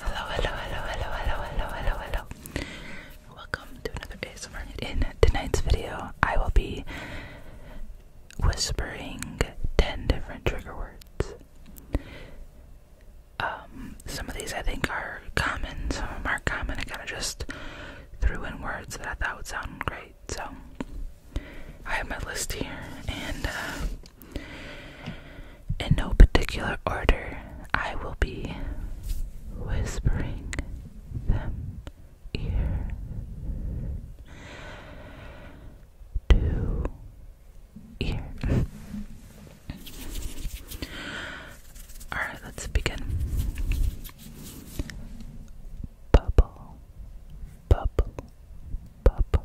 Hello, hello, hello, hello, hello, hello, hello, hello. Welcome to another ASMR. In tonight's video, I will be whispering 10 different trigger words. Um, some of these I think are common, some of them are common. I kind of just threw in words that I thought would sound great. So I have my list here, and uh, in no particular order, I will be whispering them ear to ear. Alright, let's begin. Bubble, bubble, bubble,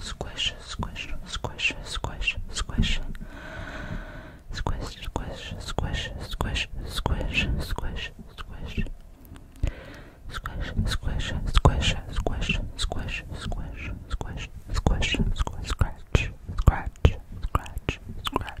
Squish, squish, squish, squish, squish, squish, squish, squish, squish, squish, squish, squish, squish, squish. Squish, squish, squish, squish, squish, squish, squish, squish, squish, scratch, scratch, scratch, scratch,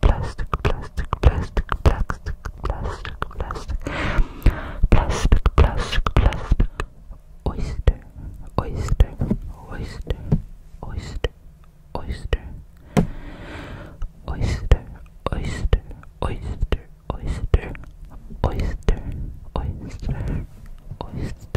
plastic, plastic, plastic, plastic, plastic, plastic, plastic, plastic, plastic, plastic, oyster, oyster, oyster, oyster, oyster, oyster, oyster, oyster, oyster, oyster, oyster, oyster, oyster,